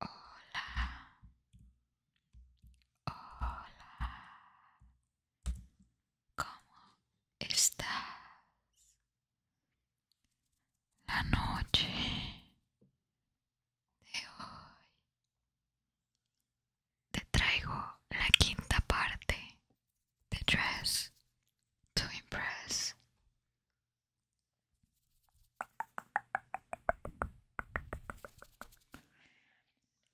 Hola. Hola. ¿Cómo estás? La noche de hoy te traigo la quinta parte de Dress to Impress.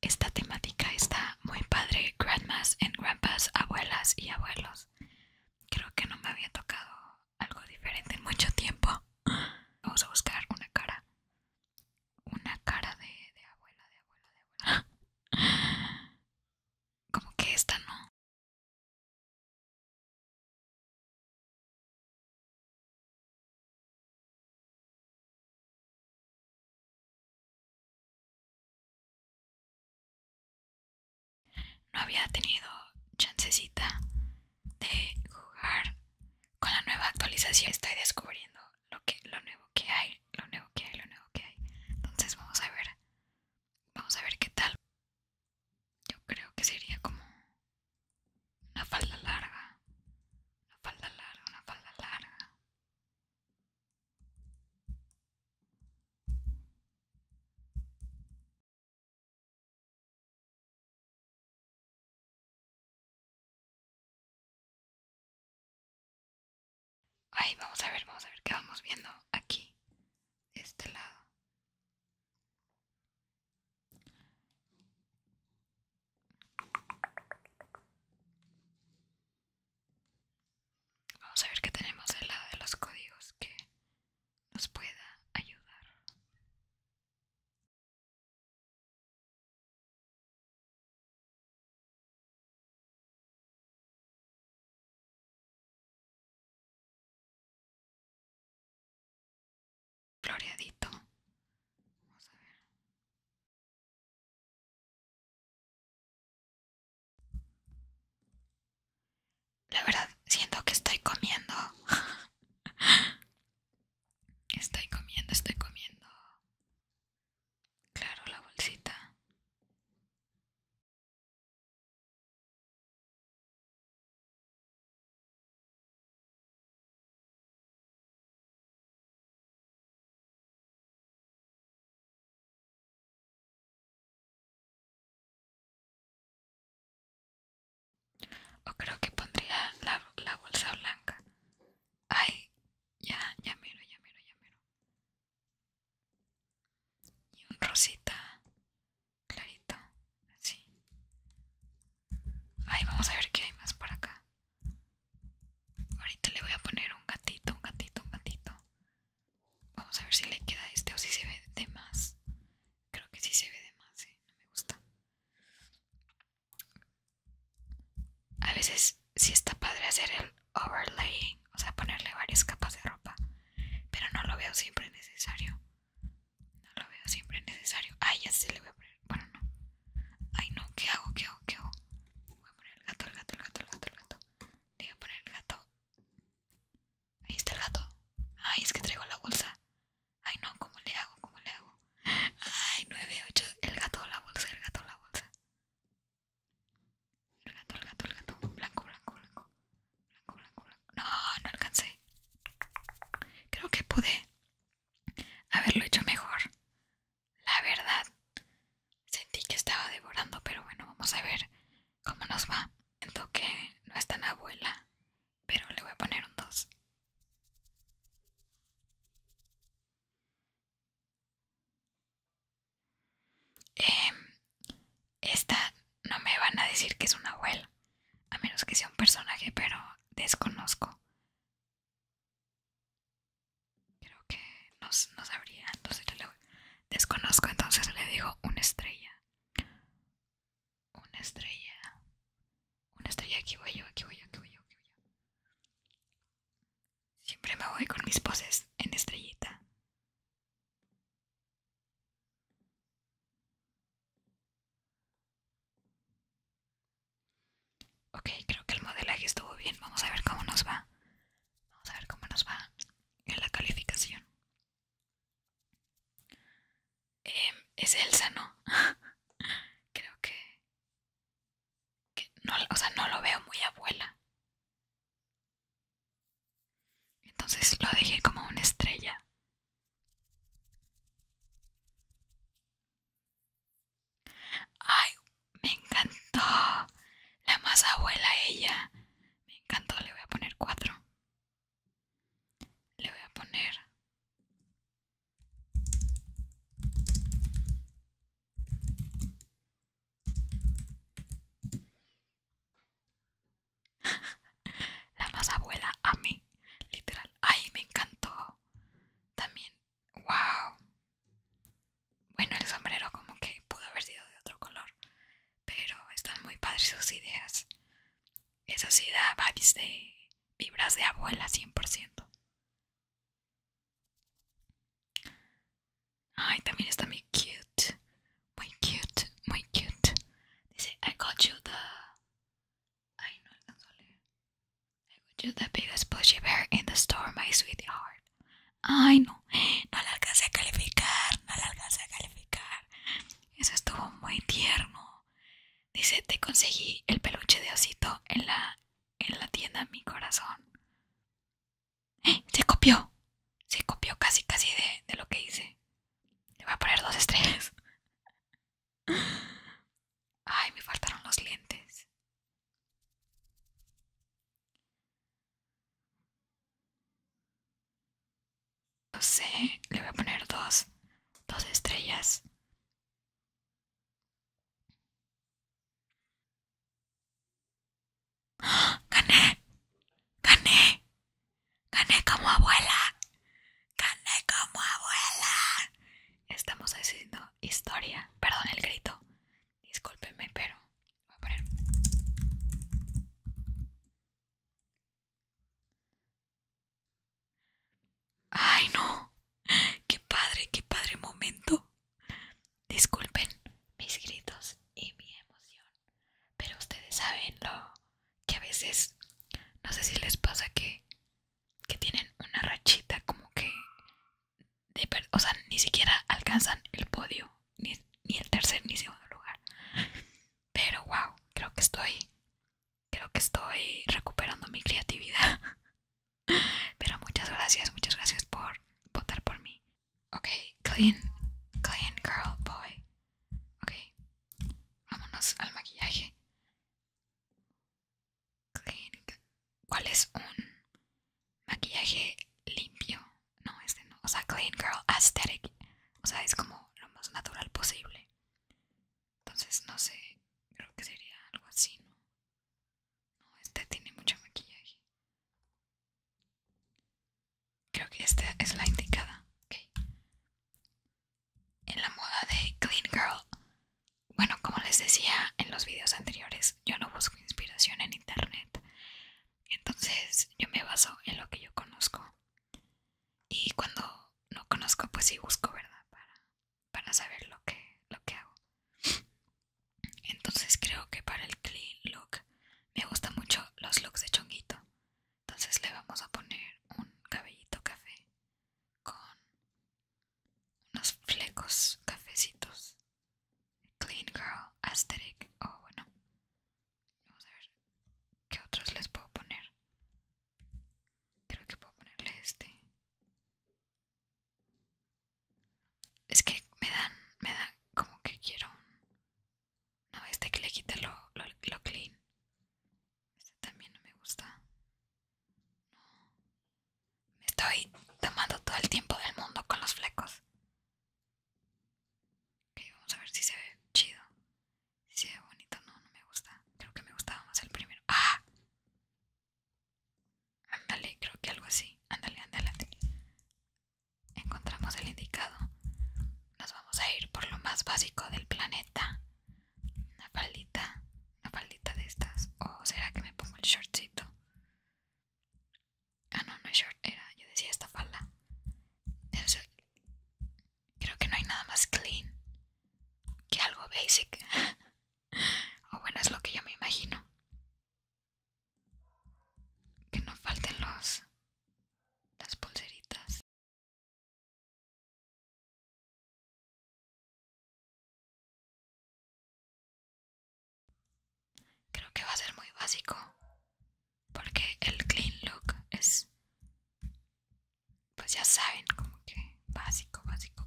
Esta temática está muy padre, grandmas and grandpas, abuelas y abuelos. Creo que no me había tocado algo diferente en mucho tiempo. Vamos a buscar una cara. Una cara de, de abuela, de abuela, de abuela. Como que esta no. No había tenido chancecita de jugar con la nueva actualización. Estoy descubriendo lo que lo nuevo que hay, lo nuevo que hay, lo nuevo que hay. Entonces vamos a ver. Vamos a ver qué tal. Yo creo que sería como una falda larga, una falda larga, una falda larga. ahí vamos a ver, vamos a ver qué vamos viendo aquí, este lado. Vamos a ver qué tenemos del lado de los códigos que nos pueda ayudar floreadito. Vamos a ver. La verdad, siento que estoy comiendo. Estoy comiendo, estoy comiendo. Claro, la bolsita. O creo que pondría la, bolsa blanca. Ay, ya, ya miro, ya miro, ya miro. Y un rosita clarito, así. Ahí vamos a ver qué hay más por acá. Ahorita le voy a poner un gatito, un gatito, un gatito. Vamos a ver si le queda este o si se ve de más. Creo que sí se ve de más, ¿eh? no me gusta. A veces sí está padre hacer el overlaying, o sea, ponerle varias capas de ropa, pero no lo veo siempre necesario. No lo veo siempre necesario. Ay, ya se le voy a poner. Bueno, no. Ay, no, ¿qué hago? ¿Qué hago? ¿Qué hago? Voy a poner el gato, el gato, el gato, el gato, el gato. Le voy a poner el gato. Ahí está el gato. Ay, es que traigo la bolsa. Ay, no, ¿cómo le hago? ¿Cómo le hago? Ay, nueve, ocho El gato, la bolsa, el gato, la bolsa. El gato, el gato, el gato. Blanco, blanco, blanco. No, no alcancé. Creo que pude haberlo hecho mejor. La verdad, sentí que estaba devorando, pero bueno, vamos a ver cómo nos va. En que no es tan abuela, pero le voy a poner un 2. Eh, em, esta no me van a decir que es una abuela, a menos que sea un personaje, pero desconozco. Creo que no, sabría, entonces yo le desconozco, entonces le digo una estrella. Una estrella. Una estrella, aquí voy yo, aquí voy yo, aquí voy yo, aquí voy yo. Siempre me voy con mis poses en estrellita. Ok, creo que el modelaje estuvo bien. Vamos a ver cómo nos va. Vamos a ver cómo nos va en la calificación. Em, es Elsa, ¿no? creo que, o sea, no lo veo muy abuela. Entonces lo dejé como una estrella. Ay, me encantó. La más abuela ella. Me encantó. Le voy a poner cuatro. Le voy a poner... la más abuela a mí, literal. Ay, me encantó. También, wow. Bueno, el sombrero como que pudo haber sido de otro color, pero están muy padres sus ideas. Eso sí da de vibras de abuela 100%. Ay, también está muy cute. Muy cute, muy cute. Dice, I got you the... Ay, no alcanzo a I got you the biggest pushy bear in the store, my sweetheart. Ay, no, no la alcancé a calificar, no la alcancé a calificar. Eso estuvo muy tierno. Dice, te conseguí el peluche de osito en la, en la tienda Mi Corazón. ¡Eh! Se copió. Se copió casi, casi de lo que hice. Le voy a poner dos estrellas. Ay, me faltaron los lentes. No sé, le voy a poner dos, dos estrellas. ¡Ah! ¡Gané! ¡Gané! Gané como abuela. Gané como abuela. Estamos haciendo historia. Perdón el grito. Discúlpenme, pero voy a Ay, no. Qué padre, qué padre momento. Disculpen mis gritos y mi emoción, pero ustedes saben lo que a veces no sé si les pasa que, que tienen una rachita como que de, o sea ni siquiera alcanzan el podio ni, ni el tercer ni segundo lugar pero wow creo que estoy creo que estoy recuperando mi creatividad pero muchas gracias muchas gracias por votar por mí ok clean clean girl boy Ok, vámonos al maquillaje. ¿Cuál es un maquillaje limpio? No, este no. O sea, Clean Girl Aesthetic. O sea, es como lo más natural posible. Entonces, no sé. Creo que sería algo así, ¿no? No, este tiene mucho maquillaje. Creo que esta es la indicada. En la moda de Clean Girl. Bueno, como les decía en los videos anteriores, yo no busco inspiración en internet. Entonces yo me baso en lo que yo conozco. Y cuando no conozco, pues sí busco, ¿verdad? Para, para saber lo que, lo que hago. Entonces creo que para el clean look me gustan mucho los looks de chonguito. Entonces le vamos a poner un cabellito café con unos flecos cafecitos. Clean Girl Aesthetic. Oh, bueno. Vamos a ver qué otros les puedo poner. Creo que puedo ponerle este. Es que me dan, me dan como que quiero un no, este que le quite lo, lo, clean. Este también no me gusta. No. Me estoy tomando todo el tiempo del mundo con los flecos. Ok, vamos a ver si se ve chido. Si se ve bonito, no, no me gusta. Creo que me gustaba más el primero. ¡Ah! Ándale, creo que algo así. Ándale, ándale. Encontramos el indicado nos vamos a ir por lo más básico del planeta. Una faldita, una faldita de estas. ¿O será que me pongo el shortcito? Ah, no, no es short, era, yo decía esta falda. creo que no hay nada más clean que algo basic. o bueno, es lo que yo me imagino. Que no falten los las pulseritas Creo que va a ser muy básico porque el clean look es, pues ya saben, como que básico, básico.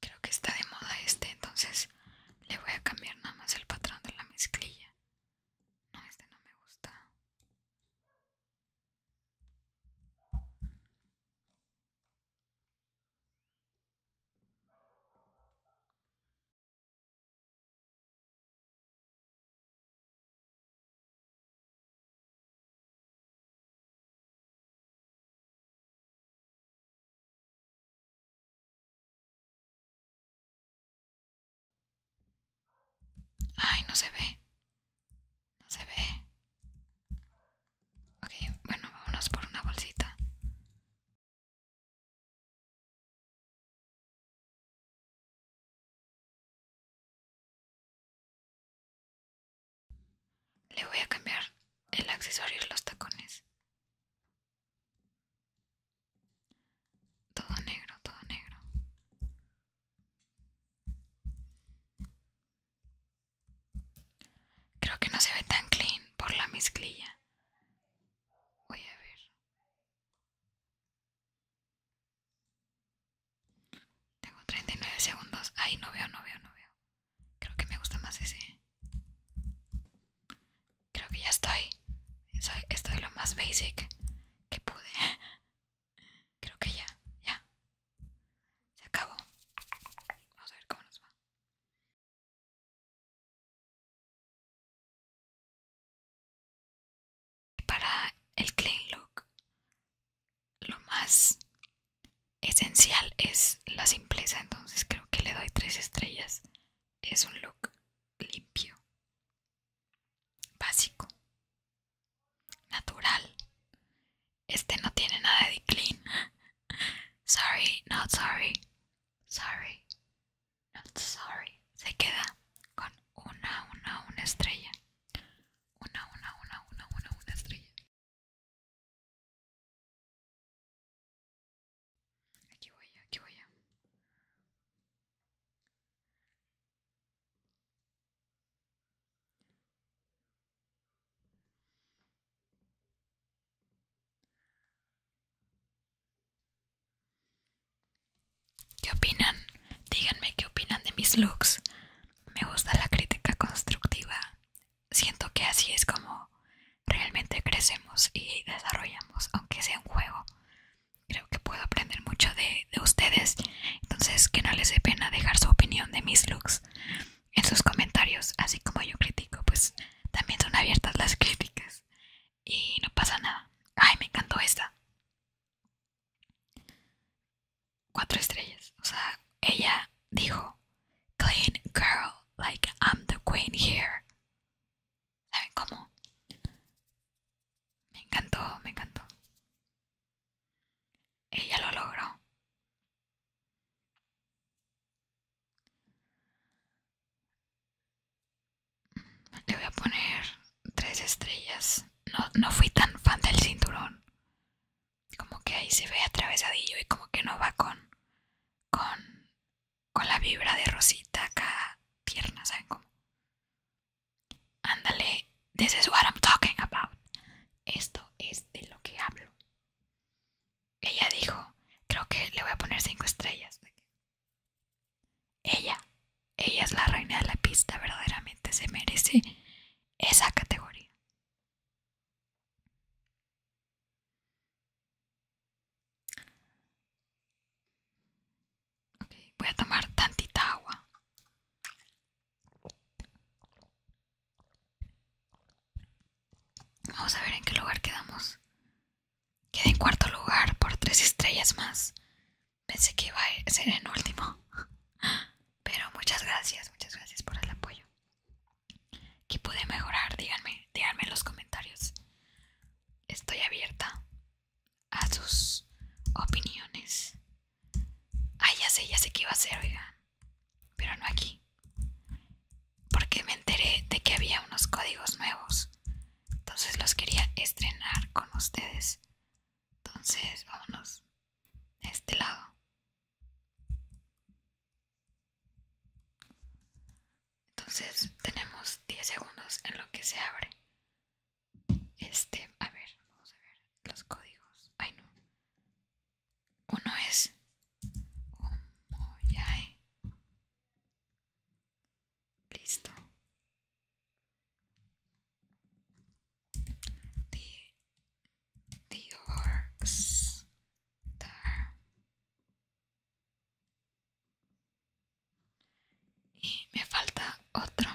Creo que está de moda este, entonces le voy a cambiar nada más el patrón de la mezclilla. No, este no me gusta. Ay, no se ve. No se ve. Ok, bueno, vámonos por una bolsita. Le voy a cambiar el accesorio y los tacones. Todo negro, todo negro. Creo que no se ve tan clean por la mezclilla. Voy a ver. Tengo 39 segundos. Ay, no veo, no veo, no veo. Creo que me gusta más ese. Creo que ya estoy. esto estoy lo más basic que pude. Creo que ya, ya. Se acabó. Vamos a ver cómo nos va. Para el clean look lo más esencial es la simpleza, entonces creo que le doy tres estrellas. Es un look limpio, básico, natural. Este no tiene nada de clean. Sorry, not sorry. Sorry, not sorry. Se queda con una, una, una estrella una, una, una, una, una, una estrella. Aquí voy, aquí voy. ¿Qué opinan? Díganme qué opinan de mis looks me gusta la crítica constructiva. Siento que así es como realmente crecemos y desarrollamos, aunque sea un juego. Creo que puedo aprender mucho de, ustedes, entonces que no les dé pena dejar su opinión de mis looks en sus comentarios, así como yo critico, pues también son abiertas las críticas y no pasa nada. Ay, me encantó esta. Cuatro estrellas. O sea, ella dijo, clean girl, like I'm the queen here. ¿Saben cómo? Me encantó, me encantó. Ella lo logró. Le voy a poner tres estrellas. No, no fui tan fan del cinturón como que ahí se ve atravesadillo y como que no va con con con la vibra de Rosita acá tierna, ¿saben cómo? Ándale, this is what I'm talking about. Esto es de lo que hablo. Ella dijo, creo que le voy a poner cinco estrellas. Ella, ella es la reina de la pista, verdaderamente se merece esa categoría. voy a tomar tantita agua. Vamos a ver en qué lugar quedamos. Quedé en cuarto lugar por tres estrellas más. Pensé que iba a ser en último. Pero muchas gracias, muchas gracias por el apoyo. ¿Qué pude mejorar? Díganme, díganme en los comentarios. Estoy abierta a sus opiniones. Ah, ya sé, ya sé qué iba a hacer, oigan. Pero no aquí. Porque me enteré de que había unos códigos nuevos. Entonces los quería estrenar con ustedes entonces, vámonos a este lado. Entonces, tenemos 10 segundos en lo que se abre. Este, a ver, vamos a ver los códigos. Ay, no. Uno es Listo the there y me falta otro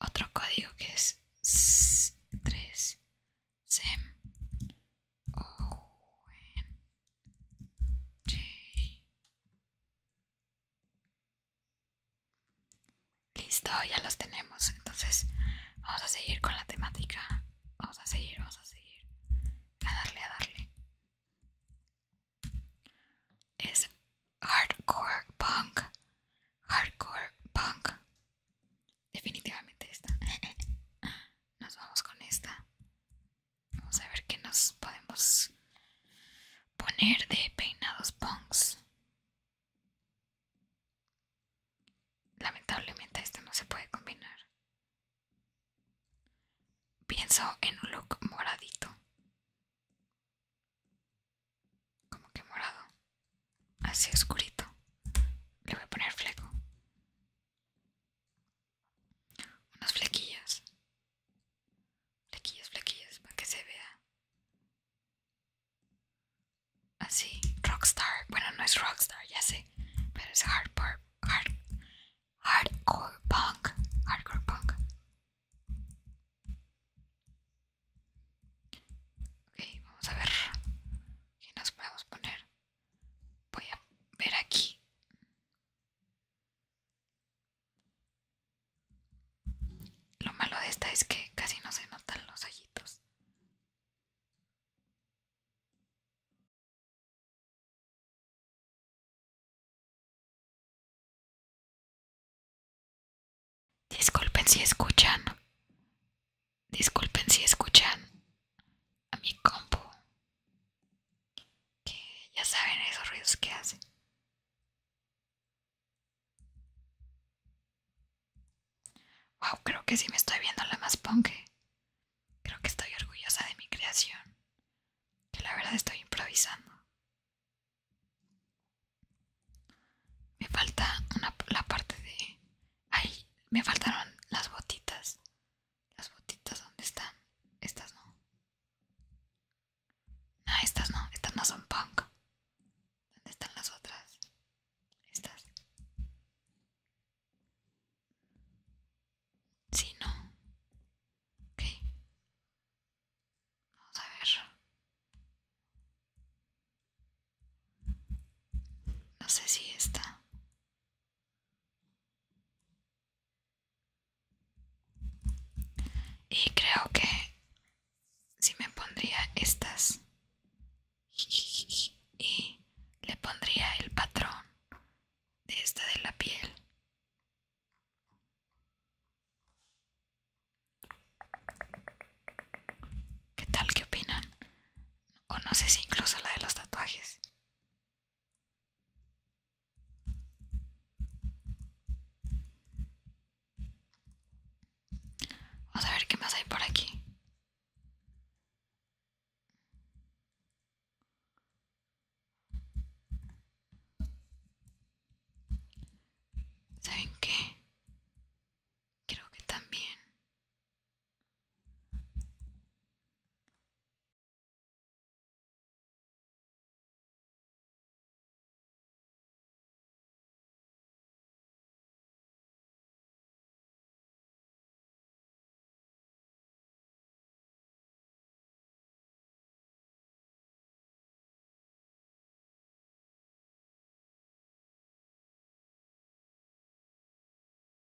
otro código que es 3 sem o n j Listo, ya los tenemos. Entonces, vamos a seguir con la temática. Vamos a seguir, vamos a seguir. A darle, a darle. Es hardcore punk. Hardcore punk. Definitivamente esta. Nos vamos con esta. Vamos a ver qué nos podemos poner de peinados punks. Lamentablemente esto no se puede combinar. Pienso en un look moradito. Como que morado. Así oscurito. Le voy a poner fleco. Unas flequillas. Flequillas, flequillas, para que se vea Así, rockstar. Bueno, no es rockstar, ya sé. Pero es hardcore, hard, hardcore punk. Hardcore punk. Ok, vamos a ver qué nos podemos poner. Voy a ver aquí. Lo malo de esta es que casi no se notan los ojitos Disculpen si escuchan. Disculpen si escuchan a mi compu. Que ya saben esos ruidos que hacen Wow, creo que sí me estoy viendo la más punk. ¿eh? Creo que estoy orgullosa de mi creación. Que la verdad estoy improvisando. Me falta la parte de... Ay, me faltaron las botitas. Las botitas, ¿dónde están? Estas no. No, ah, estas no. Estas no son punk. ¿Dónde están las otras? Estas. Sí, no. Ok. Vamos a ver. No sé si está. Y creo que si me pondría estas y le pondría el patrón de esta de la piel ¿Qué tal? ¿Qué opinan? O no sé si incluso la de los tatuajes. Vamos a ver qué más hay por aquí. ¿Saben qué? Creo que también.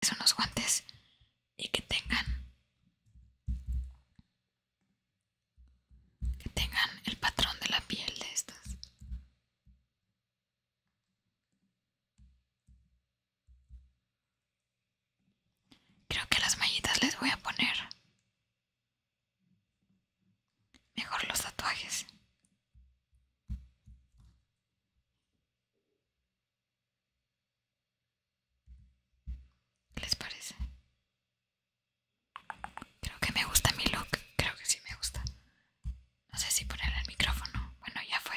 Son unos guantes y que tengan que tengan el patrón de la piel de estas. Creo que las mallitas les voy a poner mejor los tatuajes. les parece? Creo que me gusta mi look. Creo que sí me gusta. No sé si poner el micrófono. Bueno, ya fue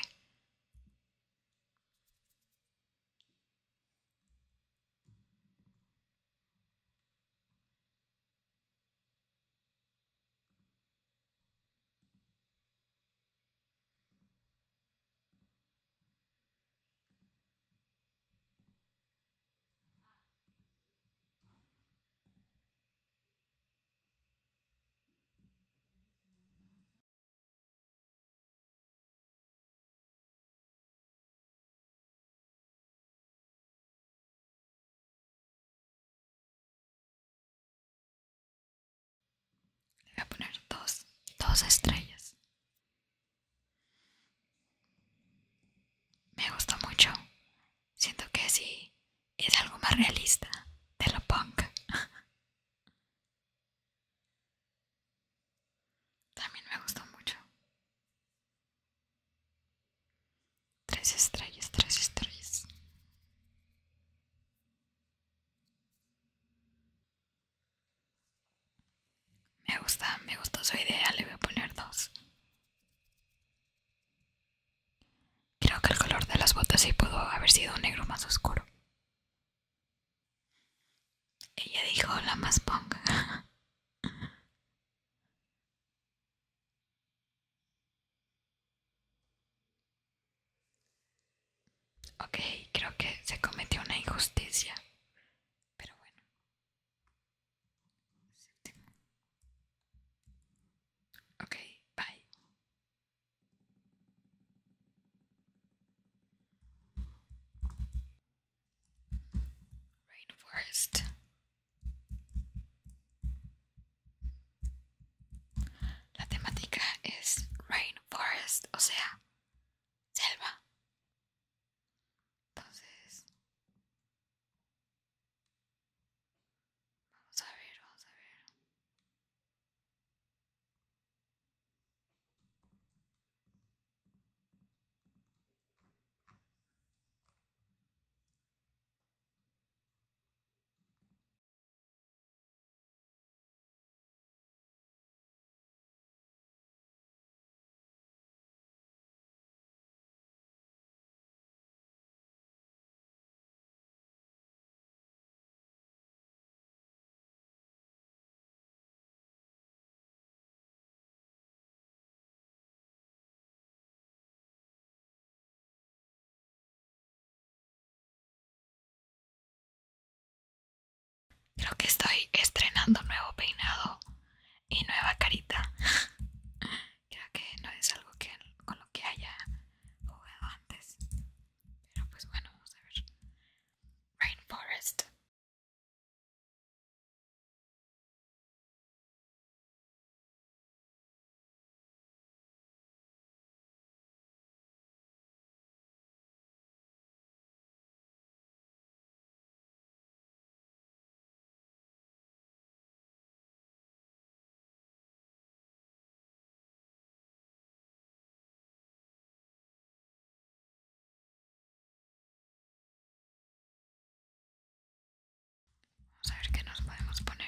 voy a poner dos, dos estrellas. Me gusta mucho siento que sí es algo más realista de lo punk. También me gustó mucho. Tres estrellas, tres estrellas. Me gusta, me gustó su idea, le voy a poner dos. Creo que el color de las botas sí pudo haber sido un negro más oscuro. Ella dijo la más punk. ok, creo que se cometió una injusticia. Pero bueno. Ok, bye. Rainforest. La temática es Rainforest, o sea, selva. Entonces, Vamos a ver, vamos a ver. Creo que estoy estrenando nuevo peinado y nueva carita. ya que no es algo que, con lo que haya jugado antes. Pero pues bueno, vamos a ver. Rainforest. Vamos a ver qué nos podemos poner.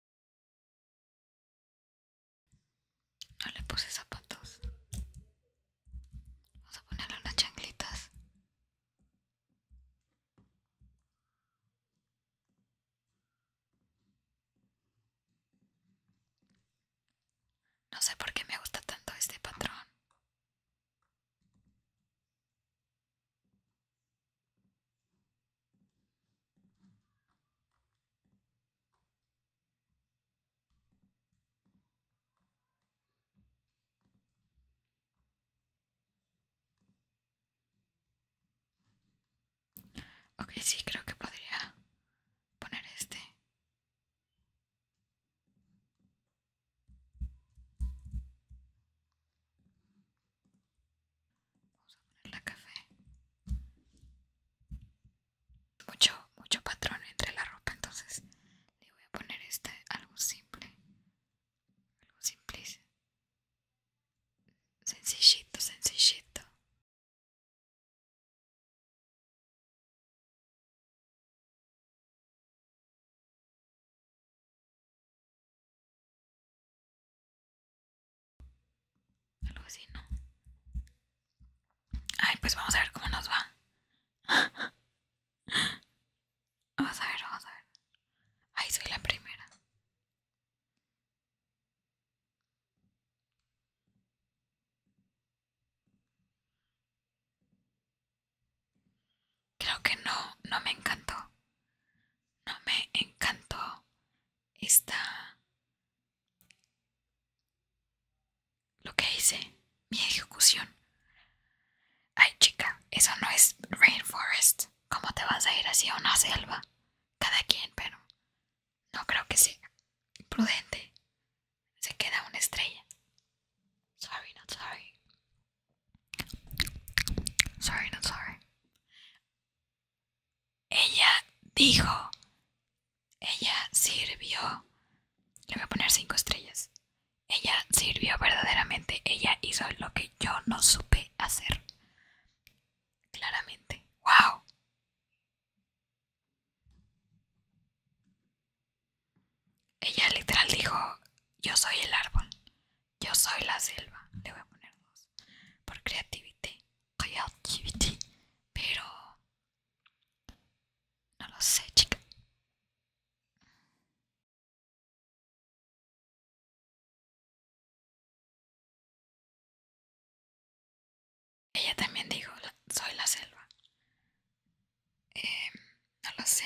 No le puse zapatos. Vamos a ponerle unas changlitas. No sé por qué me gusta tanto este patrón. Ok, sí, creo que podría poner este. Vamos a poner la café mucho, mucho patrón entre la ropa, entonces le voy a poner este algo simple, algo simple, sencillito, sencillito. Algo así, ¿no? Ay, pues vamos a ver cómo nos va. Vamos a ver, vamos a ver. Ay, soy la primera. Creo que no, no me encantó. No me encantó esta lo que hice, mi ejecución. Ay chica, eso no es rainforest. ¿Cómo te vas a ir hacia una selva? Cada quien, pero no creo que sea prudente. Se queda una estrella. Sorry, not sorry. Sorry, not sorry. Ella dijo. Ella sirvió. Le voy a poner cinco estrellas. Ella sirvió verdaderamente. Ella hizo lo que yo no supe hacer. Claramente. ¡Wow! Ella literal dijo, yo soy el árbol, yo soy la selva, le voy a poner dos, por creatividad, pero no lo sé, chica. Ella también dijo, soy la selva. Em, no lo sé,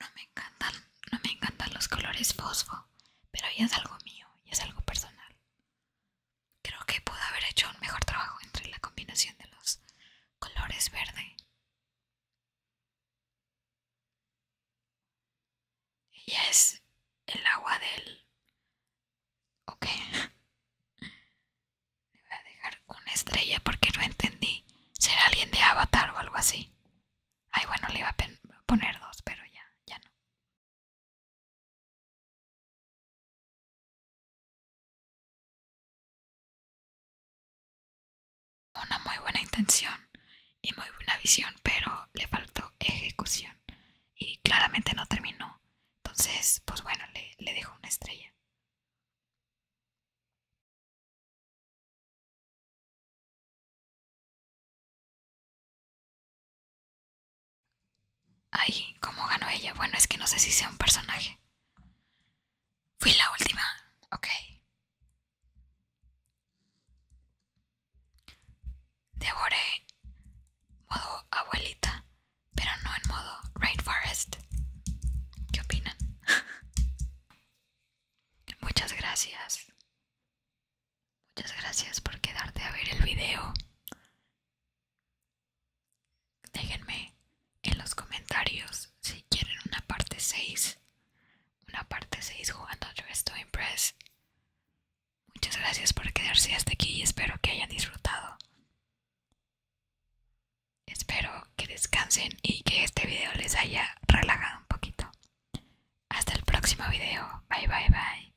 no me encantan, no me encantan los colores fosfo, pero es algo mío, y es algo personal. Creo que pudo haber hecho un mejor trabajo entre la combinación de los colores verde. Ella es el agua del... Ok. Le voy a dejar una estrella porque no entendí. ¿Será alguien de Avatar o algo así? Ay, bueno, le iba a poner dos, pero ya, ya no. Una muy buena intención y muy buena visión, pero le faltó ejecución y claramente no terminó. Entonces, pues bueno, le, dejo una estrella. Ay, ¿cómo ganó ella? Bueno, es que no sé si sea un personaje. Fui la última. Ok. Devoré modo abuelita, pero no en modo rainforest. ¿Qué opinan? Muchas gracias. Muchas gracias por quedarte a ver el video. Déjenme en los comentarios si quieren una parte 6. Una parte 6 jugando Dress to Impress. Muchas gracias por quedarse hasta aquí y espero que hayan disfrutado. Espero que descansen y que este video les haya relajado un poquito. Hasta el próximo video. Bye bye bye.